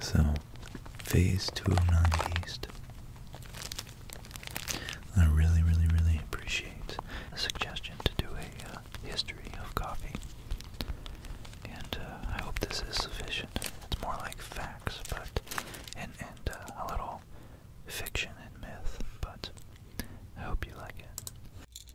So, phase 209 East. I really, really, really appreciate a suggestion to do a uh, history of coffee. And uh, I hope this is sufficient. It's more like facts, but, and, and uh, a little fiction and myth, but I hope you like it.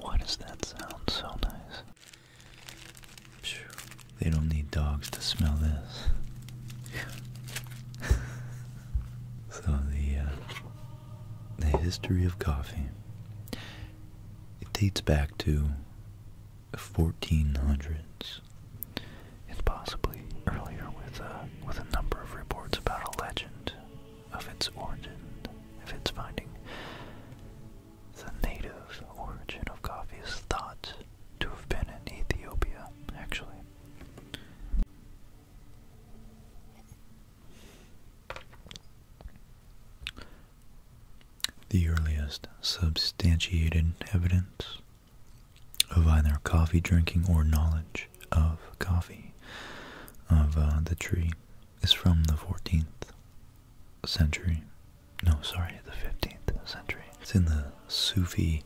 Why does that sound so nice? They don't need dogs to smell this. so the uh, the history of coffee it dates back to 1400s and possibly earlier with uh, with a number of reports about a legend of its origin, of its finding. The native origin of coffee is thought to have been in Ethiopia, actually. The earliest substantiated evidence of either coffee drinking or knowledge of coffee of uh, the tree is from the 14th century. No, sorry, the 15th century. It's in the Sufi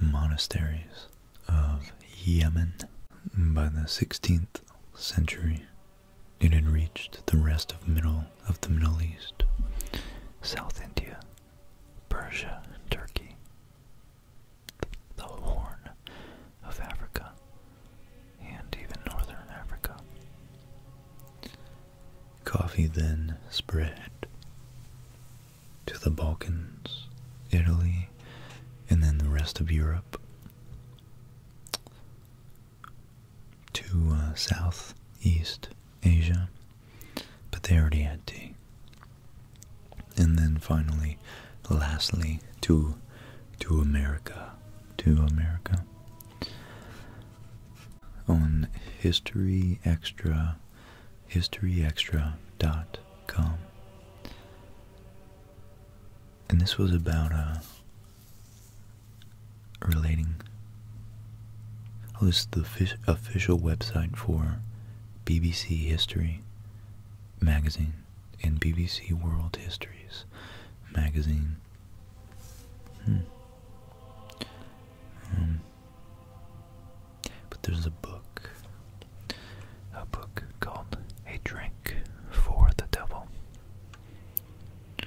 monasteries of Yemen. By the 16th century, it had reached the rest of middle of the Middle East, South India, Persia, and Turkey the Horn of Africa, and even northern Africa. Coffee then spread to the Balkans, Italy, and then the rest of Europe, to uh, South East Asia, but they already had tea. And then finally lastly, to to America, to America. On History Extra, com. and this was about uh, relating. Oh, this is the official website for BBC History magazine in BBC World Histories magazine. Hmm. Um, but there's a book, a book called A Drink for the Devil. A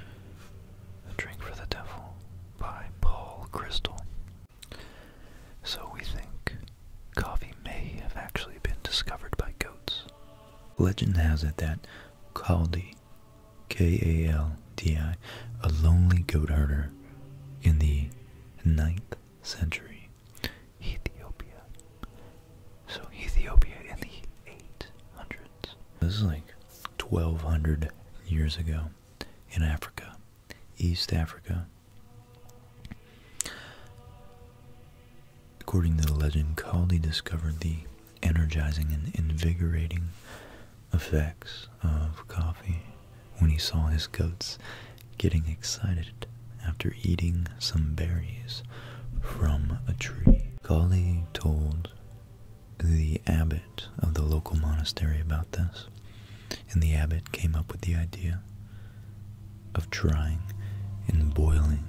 Drink for the Devil by Paul Crystal. So we think coffee may have actually been discovered by goats Legend has it that Kaldi, K-A-L-D-I, a lonely goat herder in the 9th century, Ethiopia. So Ethiopia in the 800s. This is like 1200 years ago in Africa, East Africa. According to the legend, Kali discovered the energizing and invigorating effects of coffee when he saw his goats getting excited after eating some berries from a tree. Kali told the abbot of the local monastery about this, and the abbot came up with the idea of trying, and boiling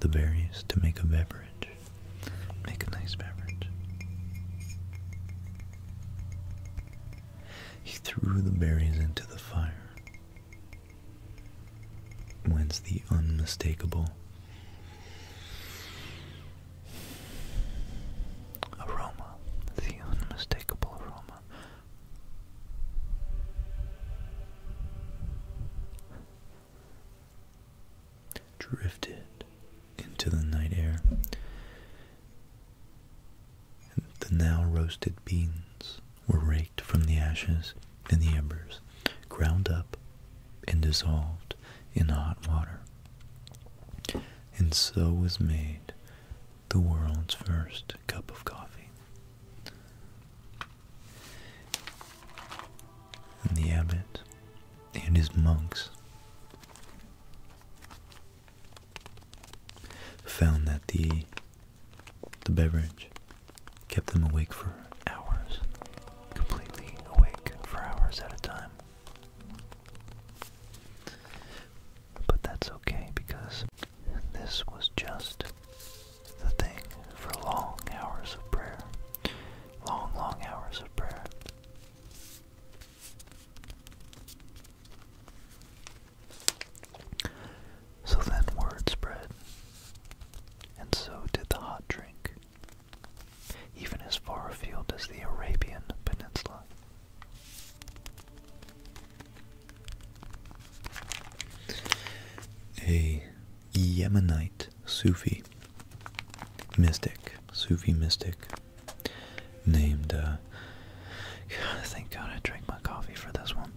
the berries to make a beverage. Make a nice beverage. He threw the berries into the fire, whence the unmistakable aroma, the unmistakable aroma drifted into the night air. the now roasted beans were raked from the ashes and the embers, ground up and dissolved in hot water. And so was made the world's first cup of coffee. And the abbot and his monks found that the the beverage kept them awake for hours, completely awake for hours at a time. But that's okay because and this was just the thing for long hours of prayer. Long, long hours of prayer. So then word spread, and so did the hot drink, even as far afield as the Arabian Peninsula a Yemenite Sufi mystic, Sufi mystic named, uh, God, thank God I drank my coffee for this one.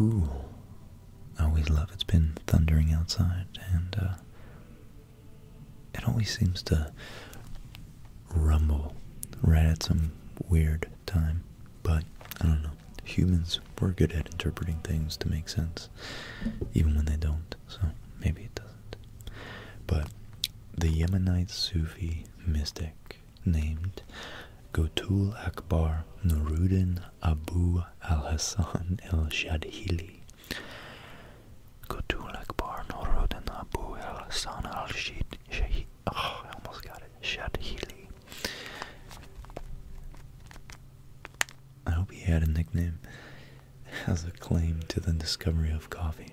Ooh, always love it's been thundering outside and uh, it always seems to rumble right at some weird time. But I don't know. Humans, were good at interpreting things to make sense, even when they don't. So maybe it doesn't. But the Yemenite Sufi mystic named Gotul Akbar Nuruddin Abu al Hasan al Shadhili. Gotul Akbar Nuruddin Abu al Hasan al Shadhili Oh, I almost got it. Shadhili. I hope he had a nickname as a claim to the discovery of coffee.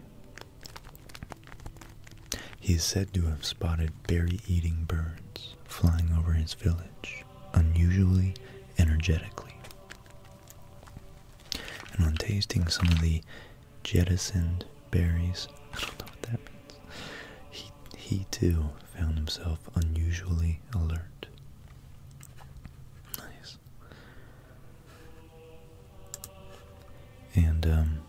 He is said to have spotted berry-eating birds flying over his village, unusually energetically. And on tasting some of the jettisoned berries. I don't know what that means. He, he too found himself unusually alert. Nice. And, um,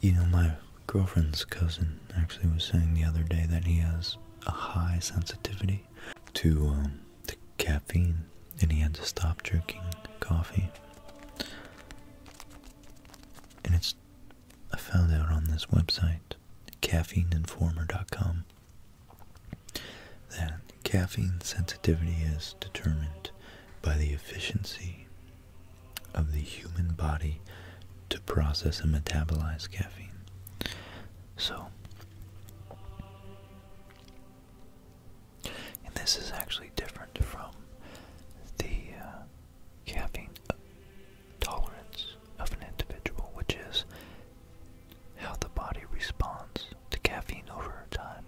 you know, my girlfriend's cousin actually was saying the other day that he has a high sensitivity to, um, to caffeine and he had to stop drinking coffee. And it's I found out on this website, caffeineinformer.com, that caffeine sensitivity is determined by the efficiency of the human body to process and metabolize caffeine. So, and this is actually different from the caffeine uh, tolerance of an individual, which is how the body responds to caffeine over time.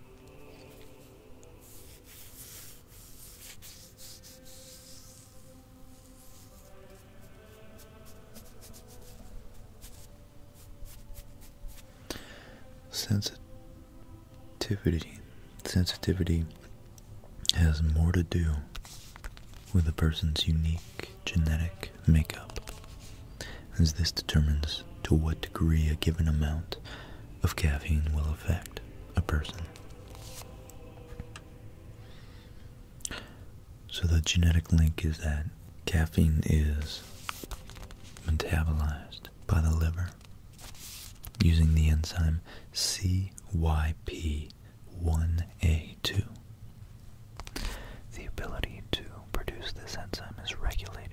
Since it sensitivity sensitivity has more to do with a person's unique genetic makeup as this determines to what degree a given amount of caffeine will affect a person so the genetic link is that caffeine is metabolized by the liver using the enzyme CYP1A2. The ability to produce this enzyme is regulated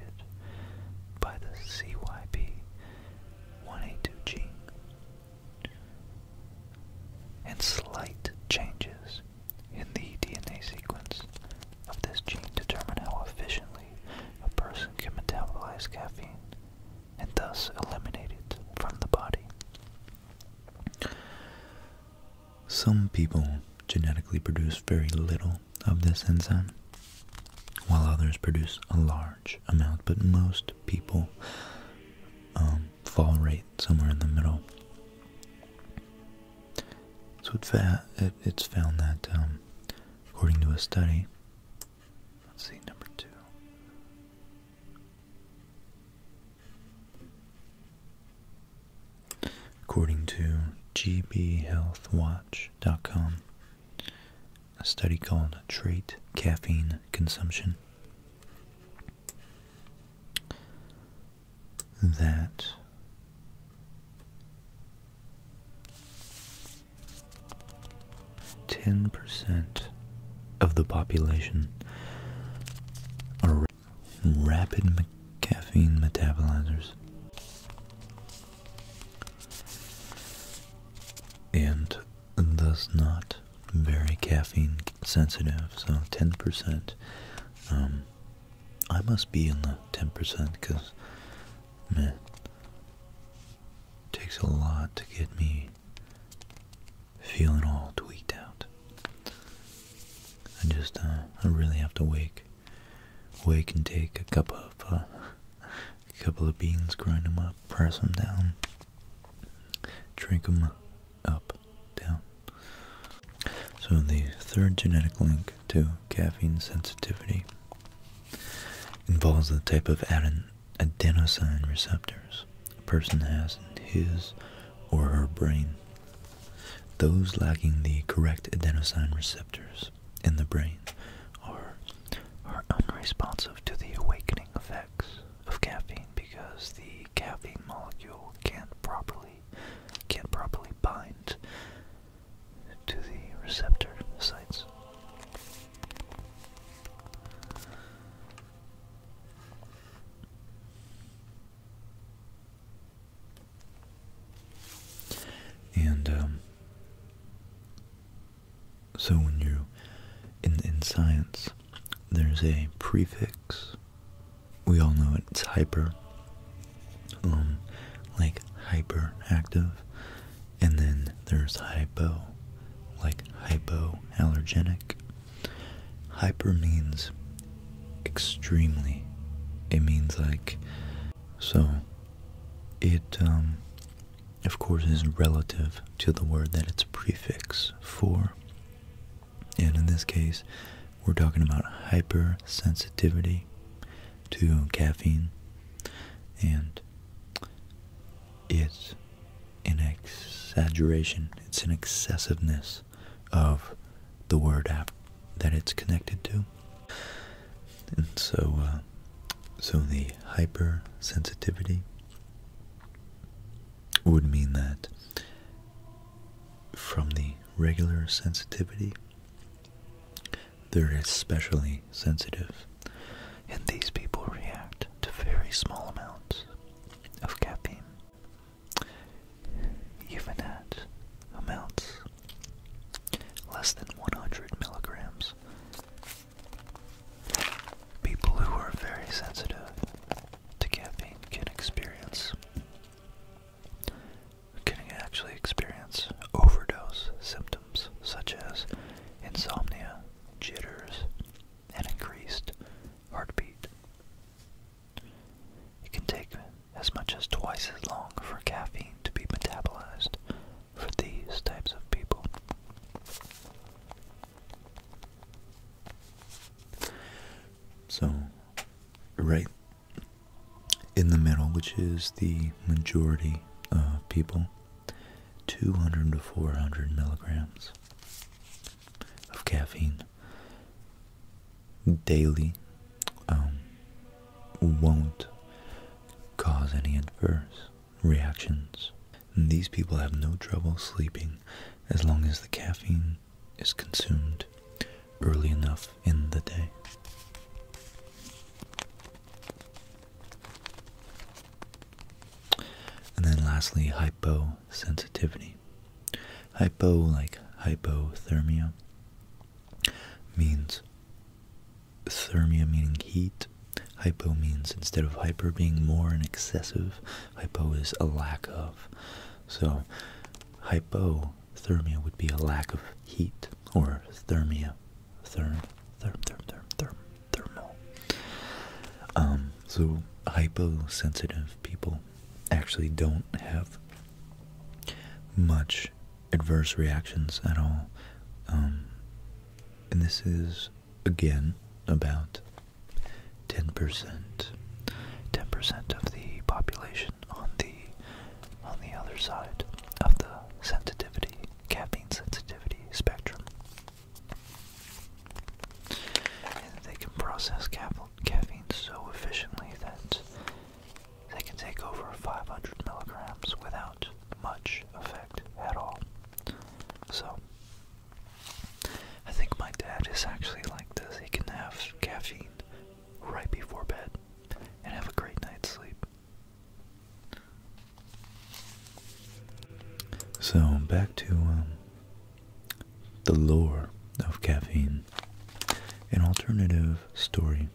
by the CYP1A2 gene, and slight changes in the DNA sequence of this gene determine how efficiently a person can metabolize caffeine and thus eliminate it from the body. Some people genetically produce very little of this enzyme, while others produce a large amount, but most people um, fall right somewhere in the middle. So it's found that um, according to a study. Let's see, number two. According to gbhealthwatch.com, a study called Trait Caffeine Consumption, that 10% of the population are rapid caffeine metabolizers. And thus not very caffeine sensitive, so 10%. Um, I must be in the 10% because man, takes a lot to get me feeling all tweaked out. I just, uh, I really have to wake, wake and take a cup of, uh, a couple of beans, grind them up, press them down, drink them up, down. So the third genetic link to caffeine sensitivity involves the type of adenosine receptors a person has in his or her brain. Those lacking the correct adenosine receptors in the brain are, are unresponsive to the awakening effects of caffeine because the caffeine molecule can't properly can't properly bind to the receptor sites. And um, so when you in in science, there's a prefix. We all know it's hyper. Um, like hyperactive and then there's hypo, like hypoallergenic. Hyper means extremely. It means like, so it, um, of course, is relative to the word that it's prefix for. And in this case, we're talking about hypersensitivity to caffeine, and it's an exaggeration, it's an excessiveness of the word app that it's connected to. And so, uh, so the hypersensitivity would mean that from the regular sensitivity they're especially sensitive, and these people react to very small amounts of caffeine, even at amounts less than 100 milligrams. People who are very sensitive to caffeine can experience can actually experience overdose symptoms such as insomnia, jitters, and increased heartbeat. It can take as much as twice as long for caffeine to be metabolized for these types of people. So, right in the middle, which is the majority of people, 200 to 400 milligrams of caffeine daily um, won't cause any adverse reactions. these people have no trouble sleeping as long as the caffeine is consumed early enough in the day. And then lastly, hyposensitivity. Hypo, like hypothermia, means thermia meaning heat. Hypo means instead of hyper being more and excessive, hypo is a lack of. So hypothermia would be a lack of heat or thermia therm, therm, therm, therm, therm, thermal. Um, so hyposensitive people actually don't have much adverse reactions at all. Um, and this is again about 10%, 10% of the population on the on the other side of the sensitivity, caffeine sensitivity spectrum. And they can process caffeine so efficiently that they can take over 500 milligrams without much effect at all. So, I think my dad is actually like this. He can have caffeine right before bed and have a great night's sleep. So back to um, the lore of caffeine, an alternative story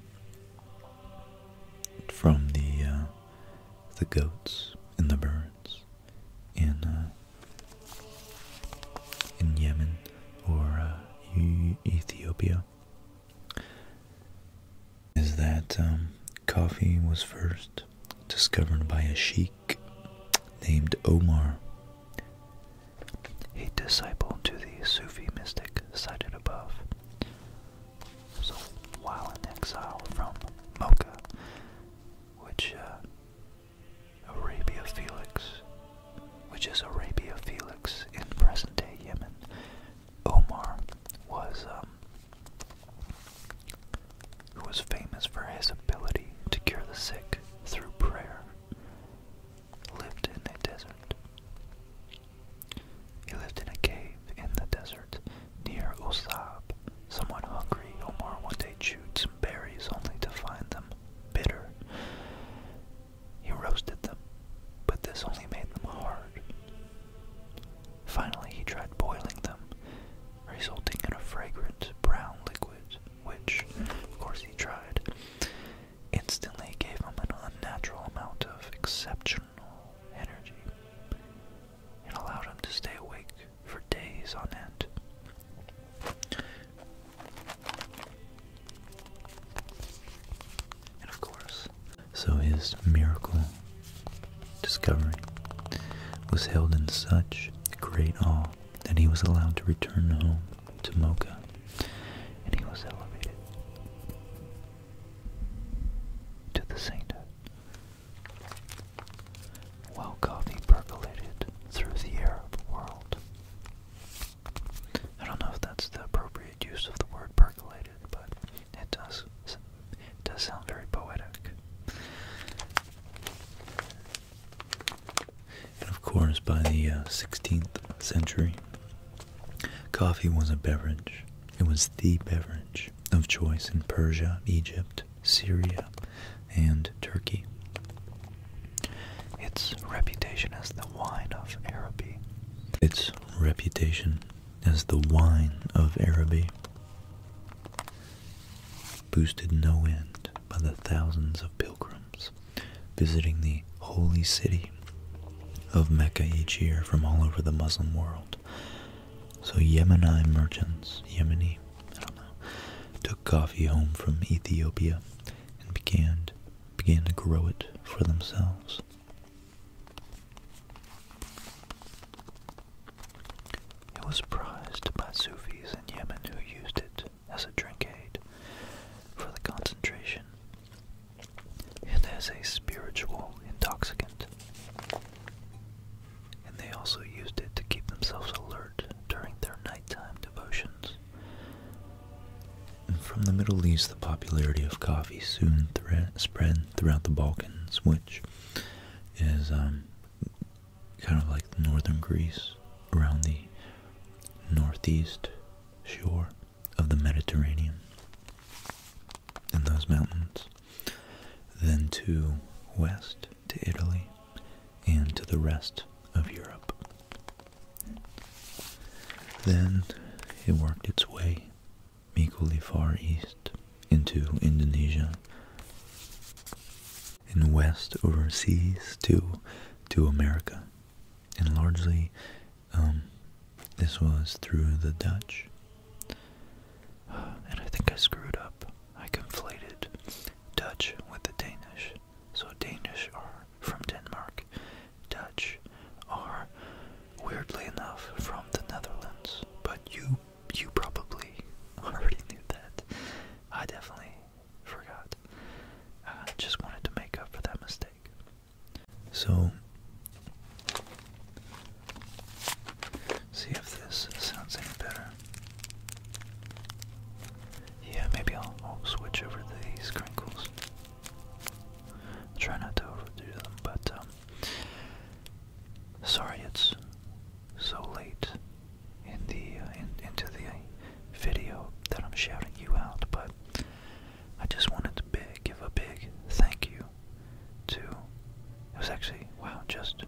from the uh, the goats and the birds in uh, in Yemen or uh, Ethiopia is that um, coffee was first discovered by a sheikh named Omar, a disciple to the Sufi mystic cited above. So while in exile from Mocha, which uh, Arabia Felix, which is Arabia Felix in present-day Yemen, Omar was who um, was famous for his ability to cure the sick through prayer, lived in a desert. He lived in a cave in the desert near Osab. Somewhat hungry, Omar one day chewed some berries only to find them bitter. He roasted them, but this only made them hard. Finally, he tried boiling them, resulting in a fragrant brown liquid, which, of course, he tried. Instantly gave him an unnatural amount of exceptional energy. and allowed him to stay awake for days on end. And of course, so his miracle discovery was held in such great awe that he was allowed to return home to Mocha and he was elevated to the sainthood. While coffee percolated through the air world. I don't know if that's the appropriate use of the word percolate but it does it does sound very poetic. And of course, by the 16th uh, century, coffee was a beverage. It was the beverage of choice in Persia, Egypt, Syria, and Turkey. Its reputation as the wine of Araby. Its reputation as the wine of Araby, boosted no end by the thousands of pilgrims visiting the holy city of Mecca each year from all over the Muslim world. So Yemeni merchants, Yemeni, I don't know, took coffee home from Ethiopia and began began to grow it for themselves. It was prized by Sufis in Yemen who used it as a drink aid for the concentration and as a spiritual intoxicant. And they also used it to keep themselves alert during their nighttime devotions. From the Middle East, the popularity of coffee soon spread throughout the Balkans, which is um, kind of like northern Greece, around the northeast shore of the Mediterranean, and those mountains, then to west to Italy, and to the rest of Europe. Then it worked its way equally far east into Indonesia and west overseas to to America. And largely um, this was through the Dutch. And I think I screwed up. I conflated Dutch with the Danish. So Danish are from Denmark Dutch are weirdly enough from the Netherlands, but you you probably already knew that. I definitely forgot. I just wanted to make up for that mistake. So, see if this sounds any better. Yeah, maybe I'll, I'll switch over to these crinkles. I try not to overdo them, but um, sorry it's so late in the uh, into the video that I'm shouting you out, but I just wanted to big, give a big thank you to. It was actually wow, just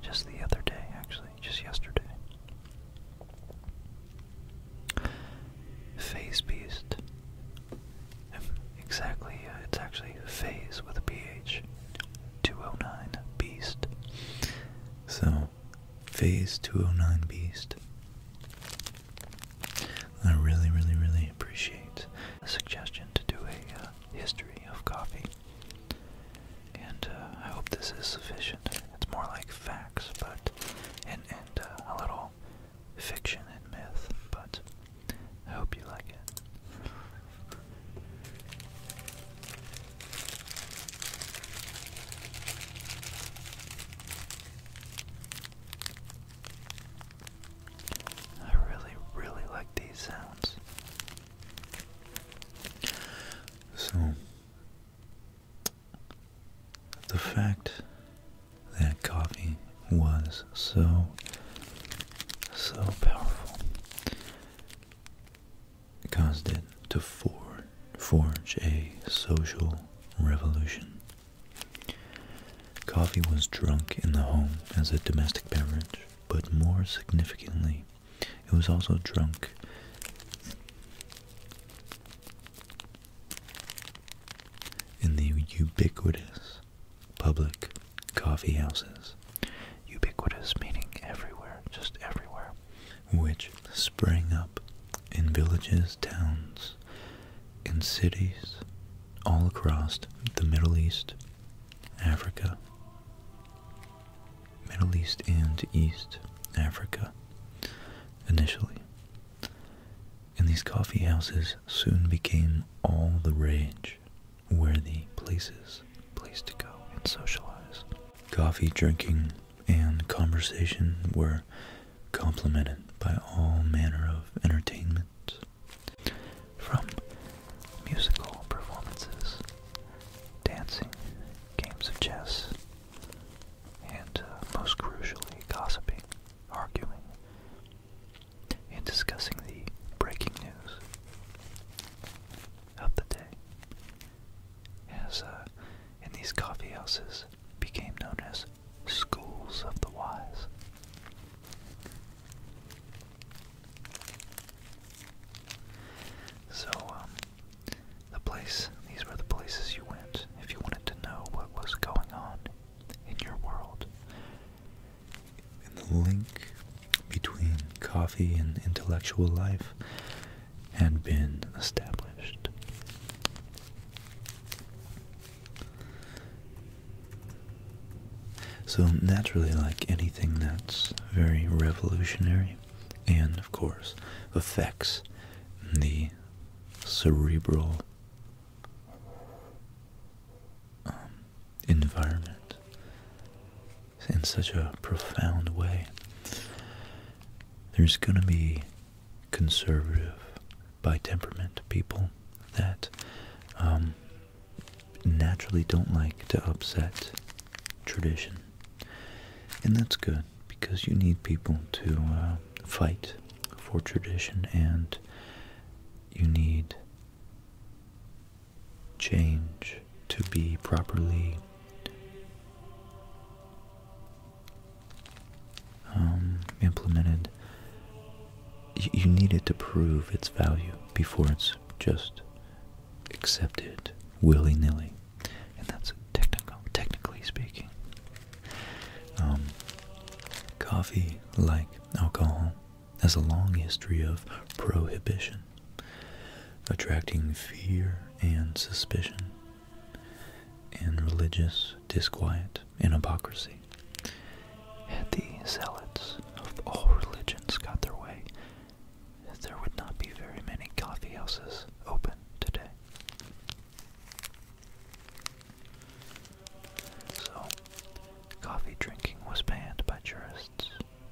just the other day, actually, just yesterday. Phase Beast. Exactly, uh, it's actually Phase with a PH. 209 Beast. So, Phase 209 Beast. I really, really, really appreciate the suggestion to do a uh, history of coffee. And uh, I hope this is sufficient. It's more like facts, but and and a little fiction and myth, but I hope you like it. I really, really like these sounds. So, the fact that coffee was so, so powerful caused it to for forge a social revolution. Coffee was drunk in the home as a domestic beverage, but more significantly, it was also drunk in the ubiquitous public coffeehouses, Ubiquitous meaning everywhere, just everywhere, which sprang up in villages, towns, in cities all across the Middle East, Africa, Middle East and East Africa initially, and these coffee houses soon became all the rage, worthy places, place to go and socialize. Coffee drinking and conversation were complemented by all manner of entertainments, from musical performances, dancing, games of chess, and uh, most crucially, gossiping, arguing, and discussing the breaking news of the day, as uh, in these coffee houses became known as schools of the wise. So, um, the place, these were the places you went if you wanted to know what was going on in your world. And the link between coffee and intellectual life had been established. So, naturally, like anything that's very revolutionary and, of course, affects the cerebral um, environment in such a profound way, there's going to be conservative by temperament people that um, naturally don't like to upset tradition. And that's good because you need people to uh, fight for tradition and you need change to be properly um, implemented. you need it to prove its value before it's just accepted willy-nilly. And that's technical, technically speaking. Um, coffee, like alcohol, has a long history of prohibition, attracting fear and suspicion, and religious disquiet and hypocrisy. Had the zealots of all religions got their way, there would not be very many coffeehouses open today. So, coffee drinking was banned by jurists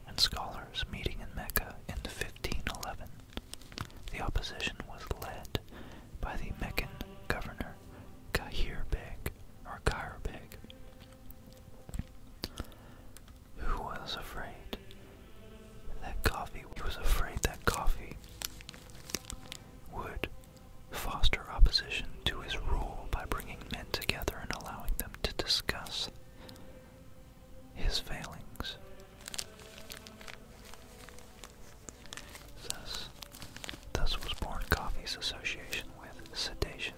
and scholars meeting in Mecca in 1511. The opposition was led by the Meccan governor Kahir Beg, or Kair Beg, who was afraid that coffee was afraid that coffee would foster opposition to his rule by bringing men together and allowing them to discuss his failings. Thus, thus was born coffee's association with sedation.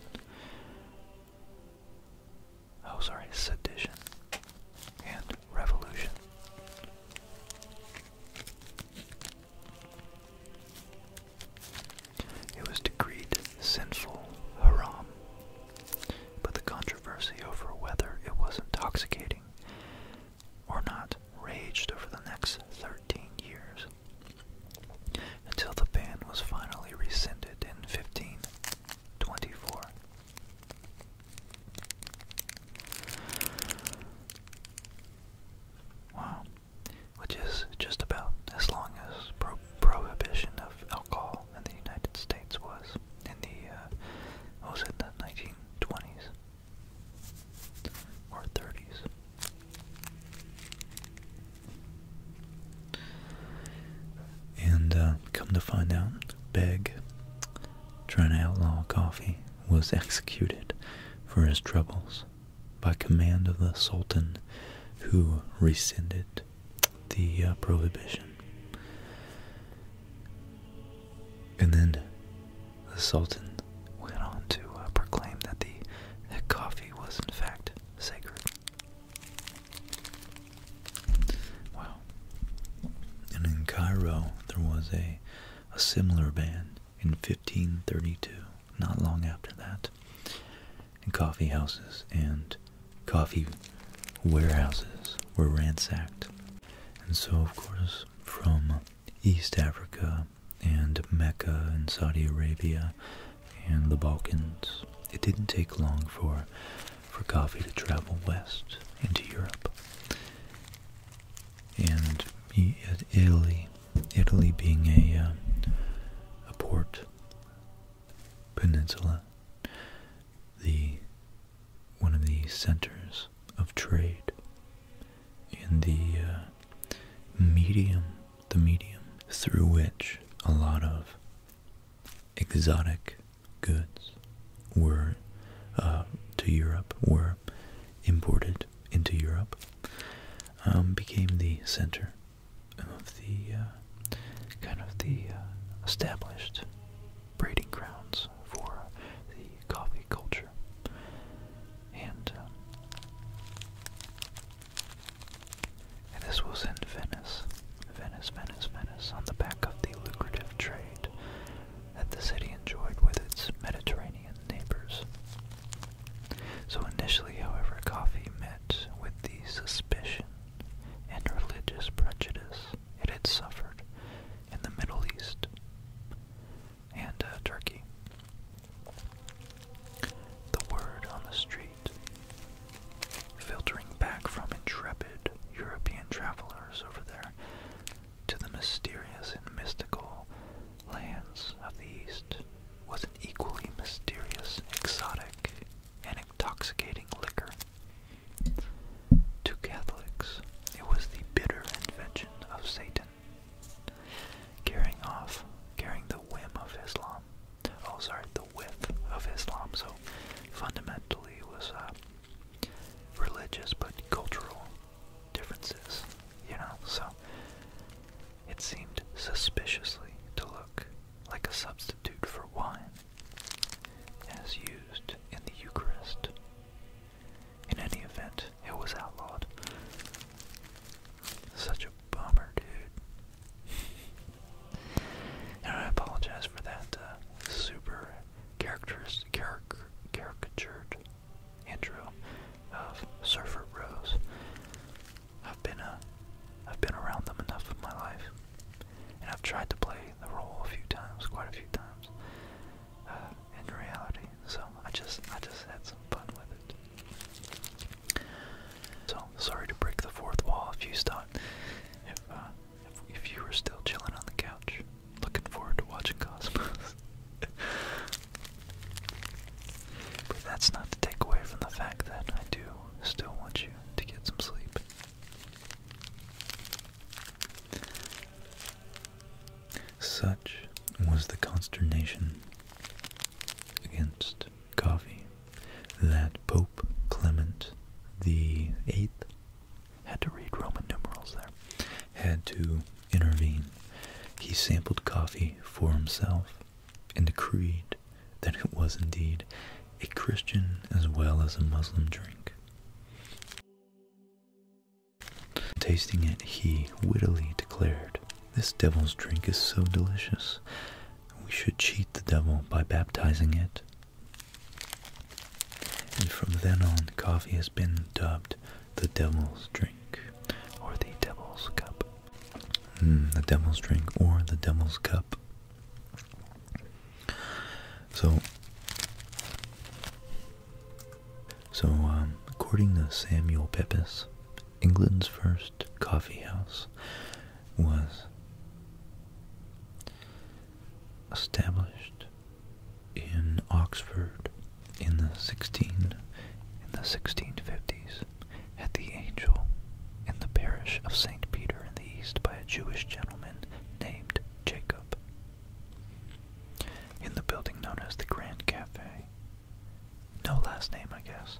Oh, sorry, sedition and revolution. It was decreed sinful haram, but the controversy over whether it was intoxicating or not raged over the next 13 years until the ban was finally rescinded in 1524. Wow. Which is just about as long as prohibition of alcohol in the United States was in the, uh, was it, the 1920s or 30s. And uh, come to find out, Beg, trying to outlaw coffee, was executed for his troubles by command of the Sultan who rescinded the uh, prohibition. And then the Sultan went on to uh, proclaim that the coffee was in fact sacred. Wow. And in Cairo, there was a a similar ban in 1532, not long after that. And coffee houses and coffee warehouses were ransacked. And so, of course, from East Africa and Mecca and Saudi Arabia and the Balkans, it didn't take long for for coffee to travel west into Europe and Italy, Italy being a uh, a port peninsula, the one of the centers of trade in the uh, medium, the medium through which a lot of exotic goods were uh, to Europe were imported into Europe, um, became the center of the uh, kind of the uh, established breeding grounds for the coffee culture. And, uh, and this was in Venice, Venice, Venice, Venice, on the back of the lucrative trade that the city enjoyed with its Mediterranean neighbors. So initially, however, coffee met with the suspicion and religious prejudice it had suffered in the Middle East and uh, Turkey. The word on the street, filtering back from intrepid European travelers over there, to the mysterious and mystical lands of the East was an equally mysterious, exotic, and intoxicating liquor. To Catholics, it was the bitter invention of Satan, carrying off, carrying the whim of Islam. Oh, sorry, the whiff of Islam. So fundamentally, it was uh, religious but cultural differences, you know? So it seemed suspiciously to look like a substitute for wine as used in the Eucharist. In any event, it was outlawed. Such a bummer, dude. I apologize for that uh, super characteristic, caricatured Andrew of Surfer Rose. I've been a, uh, I've been around them enough in my life, and I've tried to play the role a few times, quite a few times, uh, in reality. So I just, I just had some fun with it. So sorry to break the fourth wall if you thought, uh, if, if you were still chilling on the couch, looking forward to watching Cosmos. but that's not to take away from the fact that I do still want you to get some sleep. Such was the consternation against coffee that Pope Clement the Eighth had to read Roman numerals there, had to intervene. He sampled coffee for himself and decreed that it was indeed a Christian as well as a Muslim drink. Tasting it, he wittily declared, This devil's drink is so delicious. We should cheat the devil by baptizing it. And from then on, coffee has been dubbed the devil's drink or the devil's cup. Hmm, the devil's drink or the devil's cup. So, so um, according to Samuel Pepys, England's first coffee house was established in Oxford in the 16 in the 1650s at the Angel in the parish of St. Peter in the East by a Jewish gentleman named Jacob. In the building known as the Grand Cafe. No last name, I guess.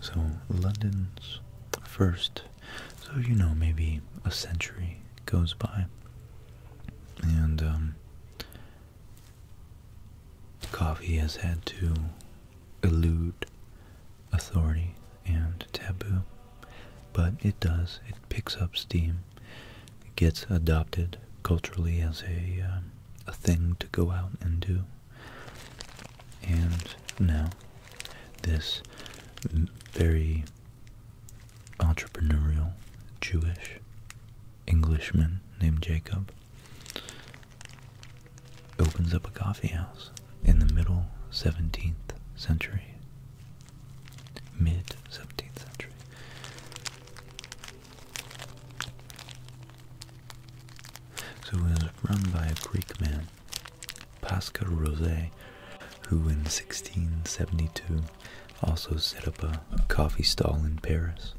So, London's first, so you know, maybe a century goes by, and um, coffee has had to elude authority and taboo, but it does, it picks up steam, it gets adopted culturally as a, uh, a thing to go out and do. And now, this very entrepreneurial Jewish Englishman named Jacob opens up a coffee house in the middle 17th century, mid 17th century. So it was run by a Greek man, Pascal Rosé, who in 1672 also set up a coffee stall in Paris.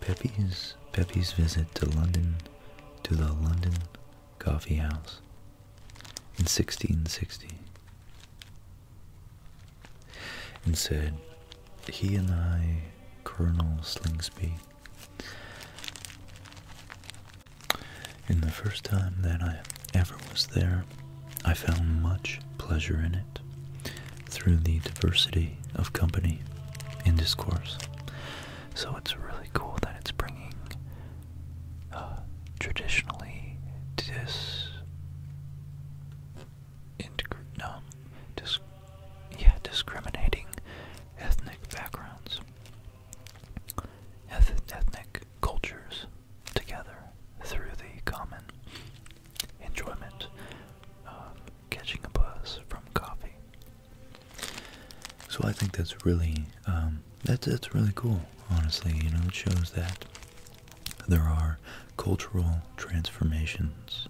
Pepe's, Pepe's visit to London, to the London Coffee House in 1660, and said, he and I, Colonel Slingsby, in the first time that I ever was there, I found much pleasure in it through the diversity of company and discourse. So it's really cool that it's bringing uh, traditionally dis. dis yeah, discriminating ethnic backgrounds, eth ethnic cultures together through the common enjoyment of catching a buzz from coffee. So I think that's really um, that's that's really cool. Honestly, you know, it shows that there are cultural transformations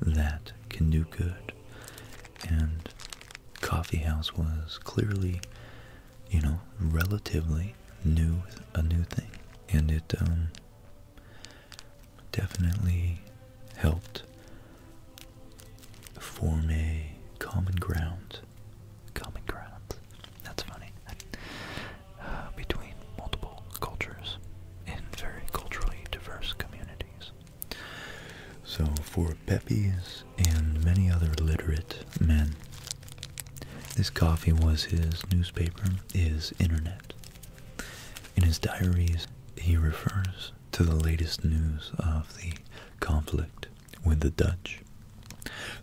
that can do good, and coffee house was clearly, you know, relatively new, a new thing, and it um, definitely helped form a common ground, common ground. That's funny. between multiple cultures in very culturally diverse communities. So for Pepys and many other literate men, this coffee was his newspaper, his internet. In his diaries, he refers to the latest news of the conflict with the Dutch.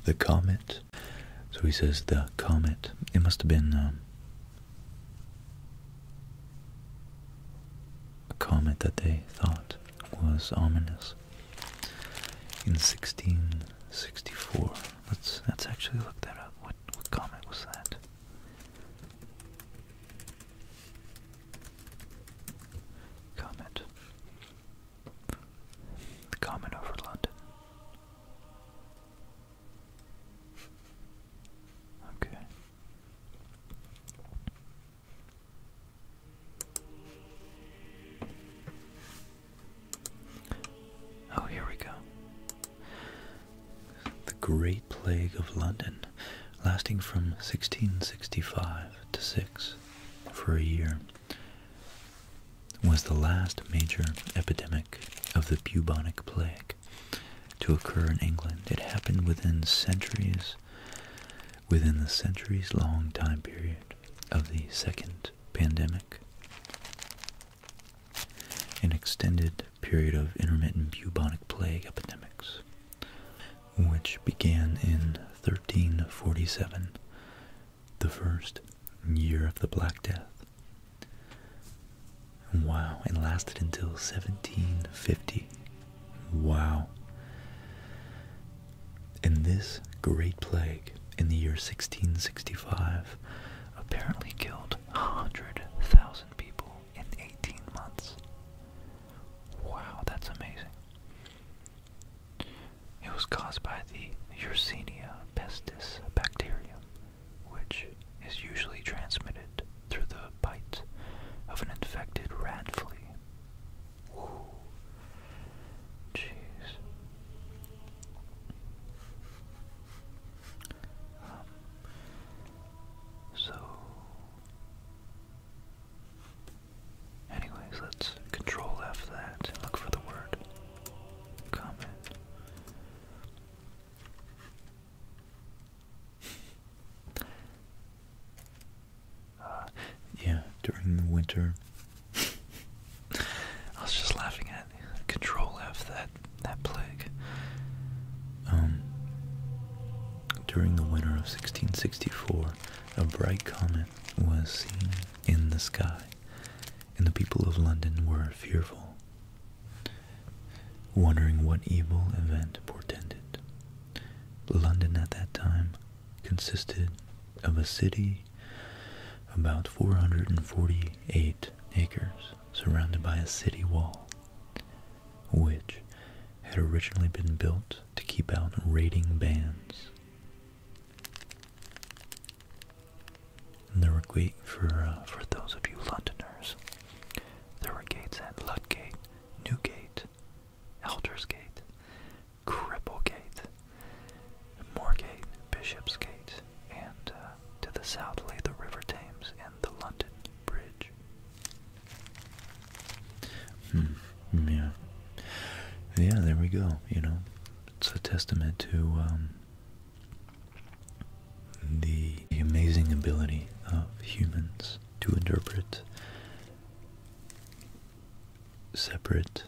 The comet, so he says the comet, it must have been um, a comet that they thought was ominous. In 1664, let's let's actually look that up. What comet was that? Comet. The comet over London. Okay. Oh, here we go. The Great Plague of London, lasting from 1665 to 6 for a year, was the last major epidemic of the bubonic plague to occur in England. It happened within centuries, within the centuries-long time period of the second pandemic. An extended period of intermittent bubonic plague epidemics, which began in 1347, the first year of the Black Death. Wow, and lasted until 1750. Wow. And this great plague in the year 1665 apparently killed 100,000 people in 18 months. Wow, that's amazing. It was caused by the Yersinia pestis bacterium, which is usually transmitted through the bite of an infected rat flea. Whoa. Jeez. Um, so, anyways, let's control F that look for the word comment. yeah, during the winter. I was just laughing at Control F that that plague. Um, during the winter of 1664, a bright comet was seen in the sky, and the people of London were fearful wondering what evil event portended. London at that time consisted of a city about 448 acres surrounded by a city wall, which had originally been built to keep out raiding bands. there were gates for uh, for those of you Londoners. There were gates at Ludgate Newgate, Eldersgate, Cripplegate, Moorgate, Bishopsgate, and uh, to the south lay the River Thames and the London Bridge. Hmm. Yeah. Yeah. There we go. You know, it's a testament to um, the amazing ability of humans to interpret separate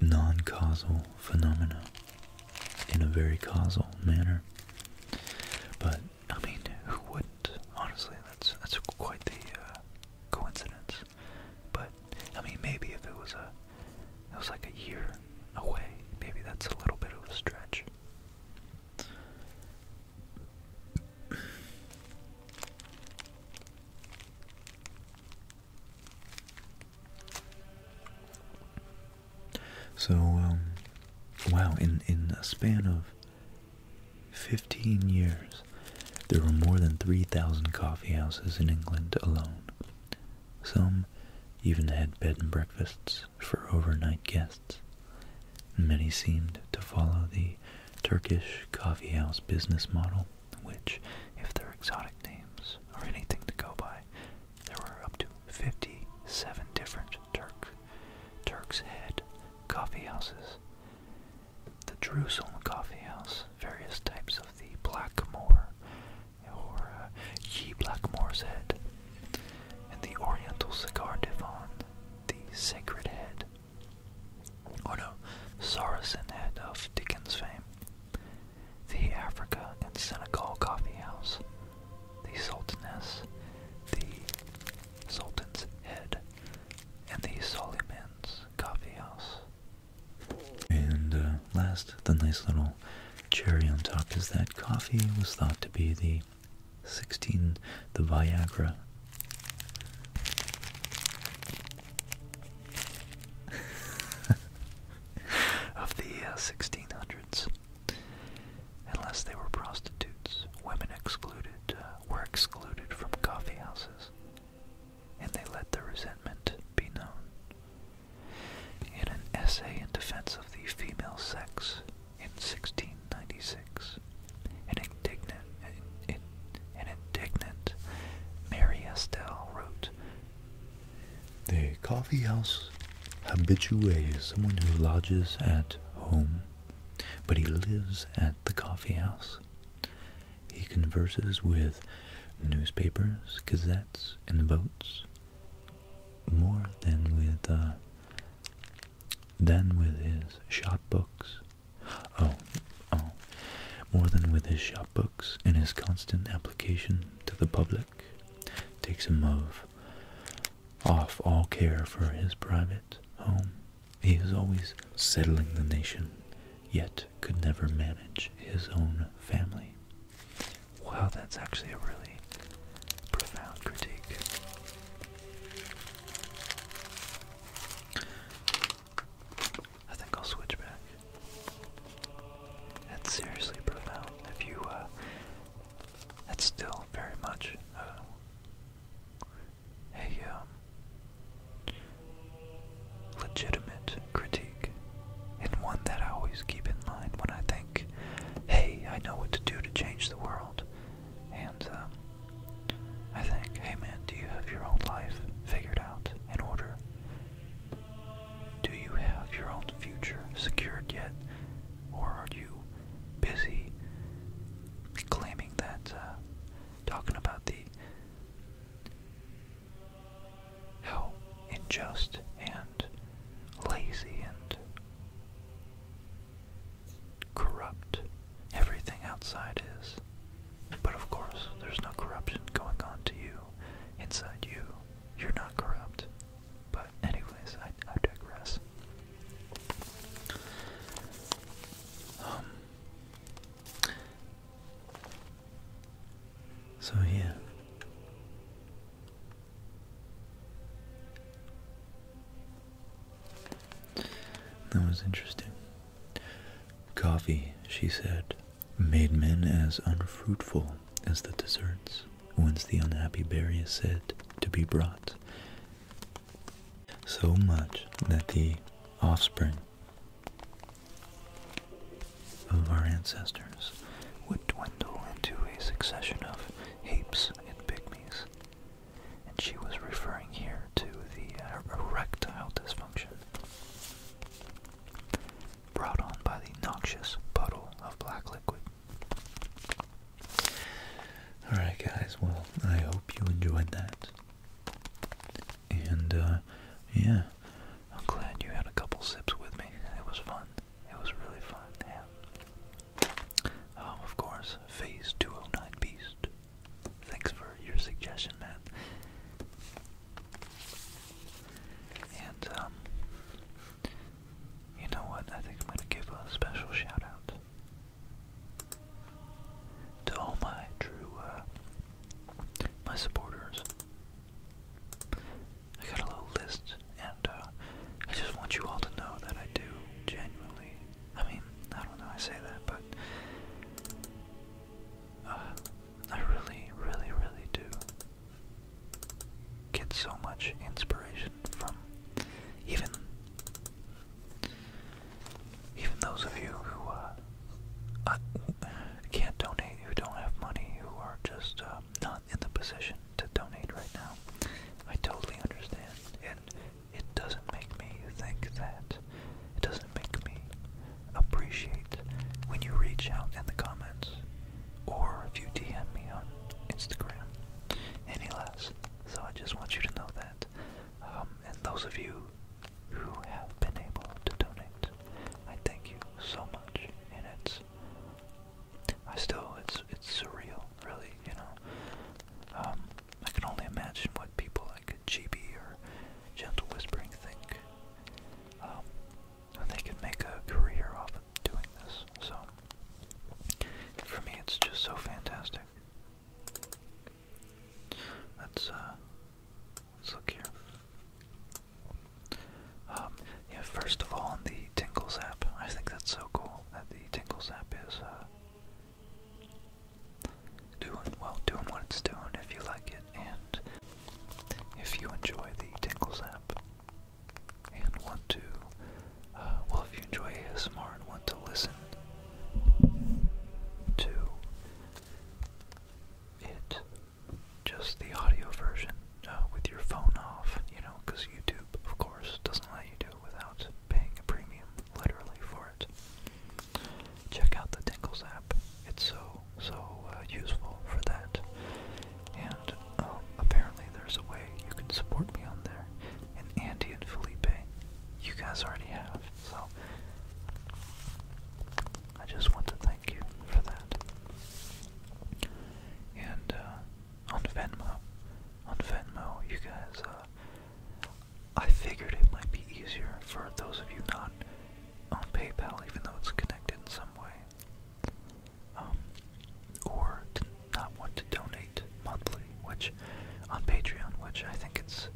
non causal phenomena in a very causal manner. But I mean, who wouldn't? Honestly, that's that's quite the uh, coincidence. But I mean, maybe if it was a, it was like a year away. Maybe that's a little bit of a stretch. So, um, wow, in, in a span of 15 years, there were more than 3,000 coffee houses in England alone. Some even had bed and breakfasts for overnight guests. Many seemed to follow the Turkish coffeehouse business model, which, if their exotic names are anything to go by, there were up to 57 different Turk, Turk's Head coffee The Jerusalem coffeehouse, various types of the Blackmore or uh, Ye Blackmore's Head, and the Oriental Cigar Divan, the Sacred Head, or oh, no, Saracen Head of Dickens fame, the Africa and Senegal Coffee House, the Sultaness, the Sultan's Head, and the Solyman's Coffee House. And uh, last, the nice little cherry on top is that coffee was thought to be the 16 the Viagra. of the 1600s, uh, unless they were prostitutes, women excluded uh, were excluded from coffeehouses, and they let their resentment be known. In an essay in defense of the female sex, in 1696. An indignant, an, indignant Mary Estelle wrote, The coffee house habitué is someone who lodges at home, but he lives at the coffee house. He converses with newspapers, gazettes, and votes more than with uh, then, with his shop books. Oh, oh, more than with his shop books and his constant application to the public, takes him of off all care for his private home. He is always settling the nation, yet could never manage his own family. Wow, that's actually a really profound critique. I think I'll switch back. That's seriously profound. If you, uh, that's still very much, uh, a, um, legitimate critique. And one that I always keep in mind when I think, hey, I know what to do to change the world. And um, I think, hey man, do you have your own life figured out in order? Do you have your own future secured yet? Or are you busy claiming that, uh, talking about the how unjust and lazy and corrupt everything outside is. But of course, there's no corruption going on to you inside you. You're not corrupt. But, anyways, I, digress. Um, so, yeah. That was interesting. Coffee, she said, made men as unfruitful as the deserts whence the unhappy berry is said to be brought. So much that the offspring of our ancestors would dwindle into a succession of heaps and pygmies, and she was referring here to the uh, erectile dysfunction brought on by the noxious puddle of black liquid. Alright, guys, well, I hope you enjoyed that. And, uh, yeah, I'm glad you had a couple sips with me. It was fun. It was really fun, um, of course, Phase 209 Beast. Thanks for your suggestion, man. And, um, you know what? I think I'm going to give a special shout out to all my true, uh, my supporters. I got a little list and uh, I just want you all to know that I do genuinely. I mean, I don't know I say that, but uh, I really, really, really do get so much inspiration from even even those of you who uh, uh, can't donate, who don't have money, who are just uh, not in the position to donate right now. I totally understand it doesn't make me think that. It doesn't make me appreciate when you reach out in the comments or if you DM me on Instagram any less. So I just want you to know that. Um, and those of you who have been able to donate, I thank you so much. And it's I still it's it's surreal, really, you know. Um, I can only imagine what people like GB or Gentle Whispering think. Um, they could make a career off doing this. So, for me, it's just so fantastic. Let's uh, look here. Um, first of all, the Tingles app, I think that's so cool the Tingles app is uh, doing well, doing what it's doing. If you like it, and if you enjoy the Tingles app, and want to, uh, well, if you enjoy ASMR and want to listen to it, just the audio version uh, with your phone off, you know, because YouTube, of course, doesn't let you do without paying a premium, literally, for it. Check out the Tingles app. It's so, so uh, useful for that. And um, apparently there's a way you can support me on there. And Andy and Felipe, you guys already have. So I just want to thank you for that. And uh, on Venmo. On Venmo, you guys, uh, I figured it might be easier for those of you not on PayPal, even though it's connected in some way, um, or not want to donate monthly, which on Patreon, which I think it's,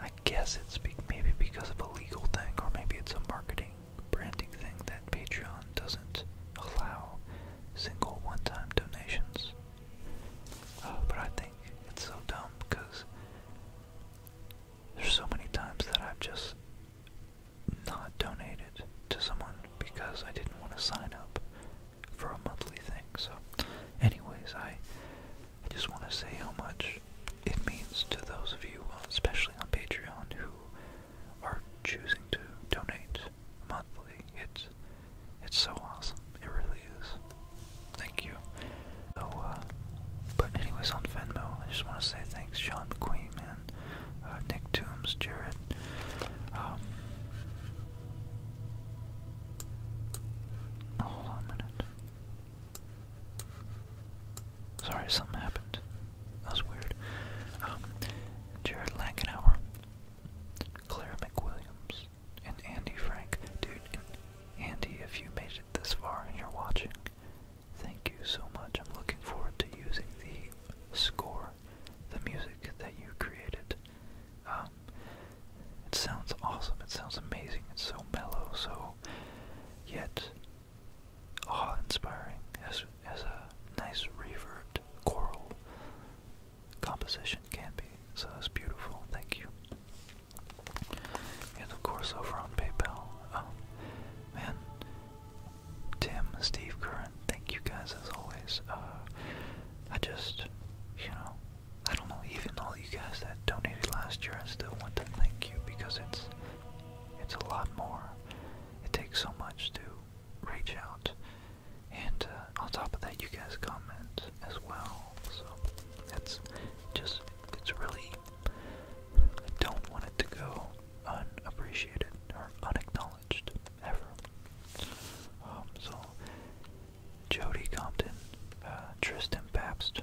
I guess it's maybe because of a legal thing, or maybe it's a marketing branding thing that Patreon doesn't allow single one-time donations. Oh, but I think it's so dumb because there's so many times that I've just not donated to someone because I didn't want to sign up for a monthly thing. So, anyways, I I just want to say how much it means to those of you, uh, especially on Patreon, who are choosing to donate monthly. It's it's so awesome. It really is. Thank you. So, uh, but anyways, on Venmo, I just want to say thanks, Sean McQueen, man, uh, Nick Toombs, Jared. Um, hold on a minute. Sorry, something happened. That was weird. Um, Jared Lankenauer, Claire McWilliams, and Andy Frank. Dude, Andy, if you made it this far and you're watching, thank you so much. I'm looking forward to using the score, the music that you created. Um, it sounds awesome. It sounds amazing. It's so mellow, so yet awe-inspiring. as a nice reverb, choral composition can be. So it's beautiful. Thank you. And of course, over on PayPal. Oh, man. Tim, Steve, Curran, thank you guys as always. Uh, I just, you know, I don't know, even all you guys that donated last year, I still want to thank you because it's, it's a lot more. It takes so much to reach out and uh, on top of that, you guys comment as well. So that's just, it's really, I don't want it to go unappreciated or unacknowledged ever. Um, so, Jody Compton, uh, Tristan Pabst,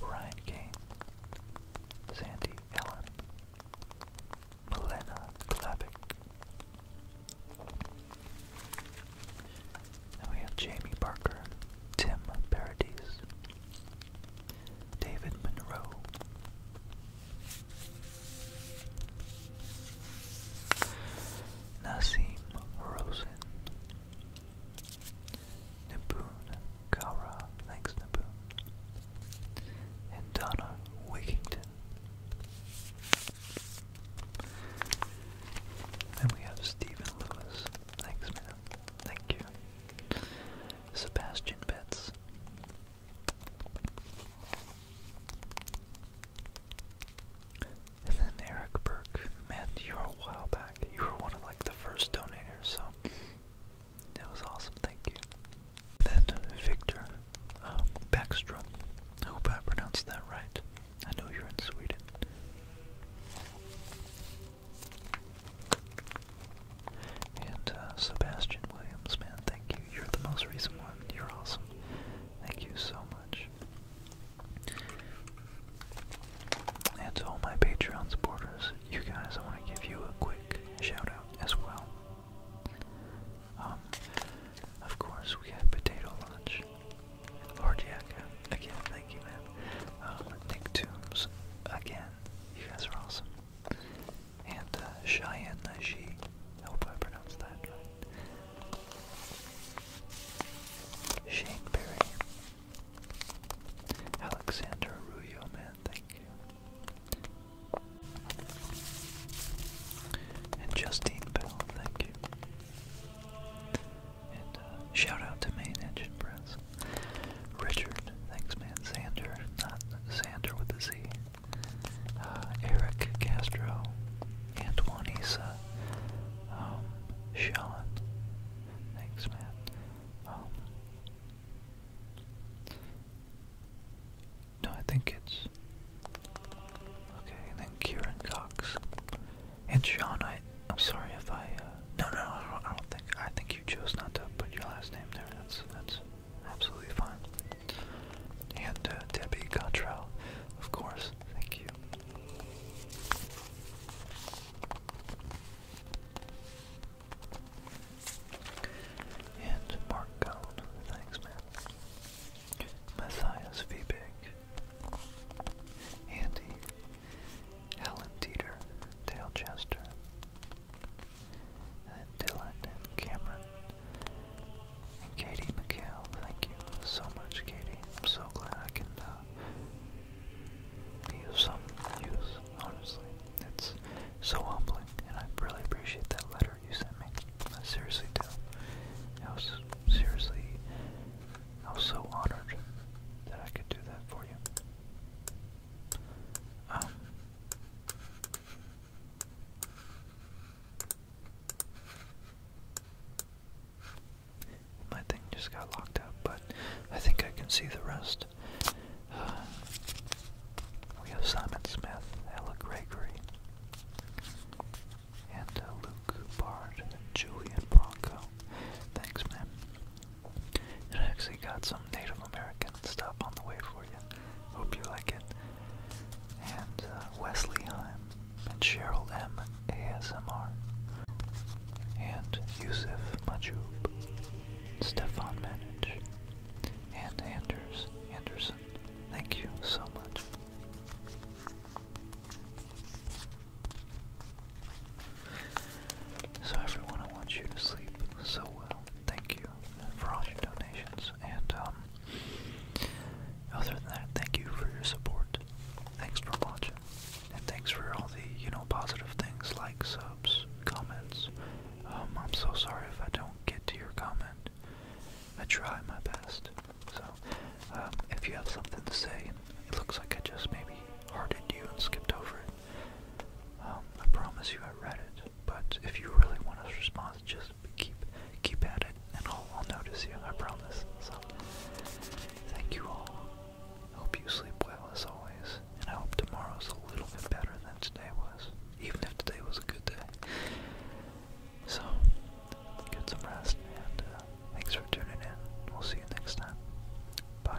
Ryan Kane, Sandy Ellen, Melena Klavick, we have Jamie Parker, Tim Paradis, David Monroe. Nassim Rosen, Naboon Kara. thanks Naboon, and Donna Wigington. Then we have Stephen Lewis. Thanks, man. Thank you. Sebastian Betts. then Eric Burke. Man, you were a while back. You were one of like the first donators, so that was awesome. Thank you. Then Victor um, Backstrom. I hope I pronounced that right. I know you're in Sweden. And uh, Sebastian Williams, man, thank you. You're the most recent one. You're awesome. Thank you so much. And to all my Patreon supporters, you guys, I want to give you a quick shout out as well. Um, of course, we had potato lunch. Lord again, thank you, man. Um, Nick Toombs, again, you guys are awesome. And uh, Cheyenne Nashi, I hope I pronounced that right. Shane Berry, Alexander Ruyo, man, thank you. And Justine Bell, thank you. And uh, shout out to Main Engine Press. Richard, thanks man. Xander, not Xander with the Z. Uh, Eric Castro, Antoine Issa, um, Sean, thanks man. Um, no, I think it's. Okay, then Kieran Cox. And Sean, I, I'm sorry if I, uh, no, no, I don't, think, I think you chose not to put your last name there. That's, that's absolutely fine. And uh, Debbie Cottrell, of course. Thank you. And Mark Cohn. Thanks, man. Matthias Vibig, Andy, Alan Dieter, Dale Chester, Dylan and Cameron, and Katie McHale. Thank you so much, Katie. I'm so glad I can be uh, of some use, honestly. It's so humbling, and I really appreciate that letter you sent me. I seriously do. I was seriously, I was so honored that I could do that for you. Um, my thing just got locked up, but I think I can see the rest. Uh, we have Simon Smith, Ella Gregory, and uh, Luke Bard and Julian Bronco. Thanks, man. I actually got some Native American stuff on the way for you. Hope you like it. And uh, Wesley Heim and Cheryl M. ASMR. And Yusuf Majub, Stefan Manage, and Anders Anderson, Thank you so much. So everyone, I want you to sleep so well. Thank you for all your donations, and um, other than that, thank you for your support. Thanks for watching, and thanks for all the you know positive things like subs, comments. Um, I'm so sorry if I don't get to your comment. I try my best. So, um, if you have something to say, it looks like I just maybe hearted you and skipped over it. Um, I promise you I read it, but if you really want a response, just keep keep at it, and I'll, notice you. I promise. So, thank you all. hope you sleep well as always, and I hope tomorrow's a little bit better than today was, even if today was a good day. So, get some rest, and uh, thanks for tuning in. We'll see you next time. Bye.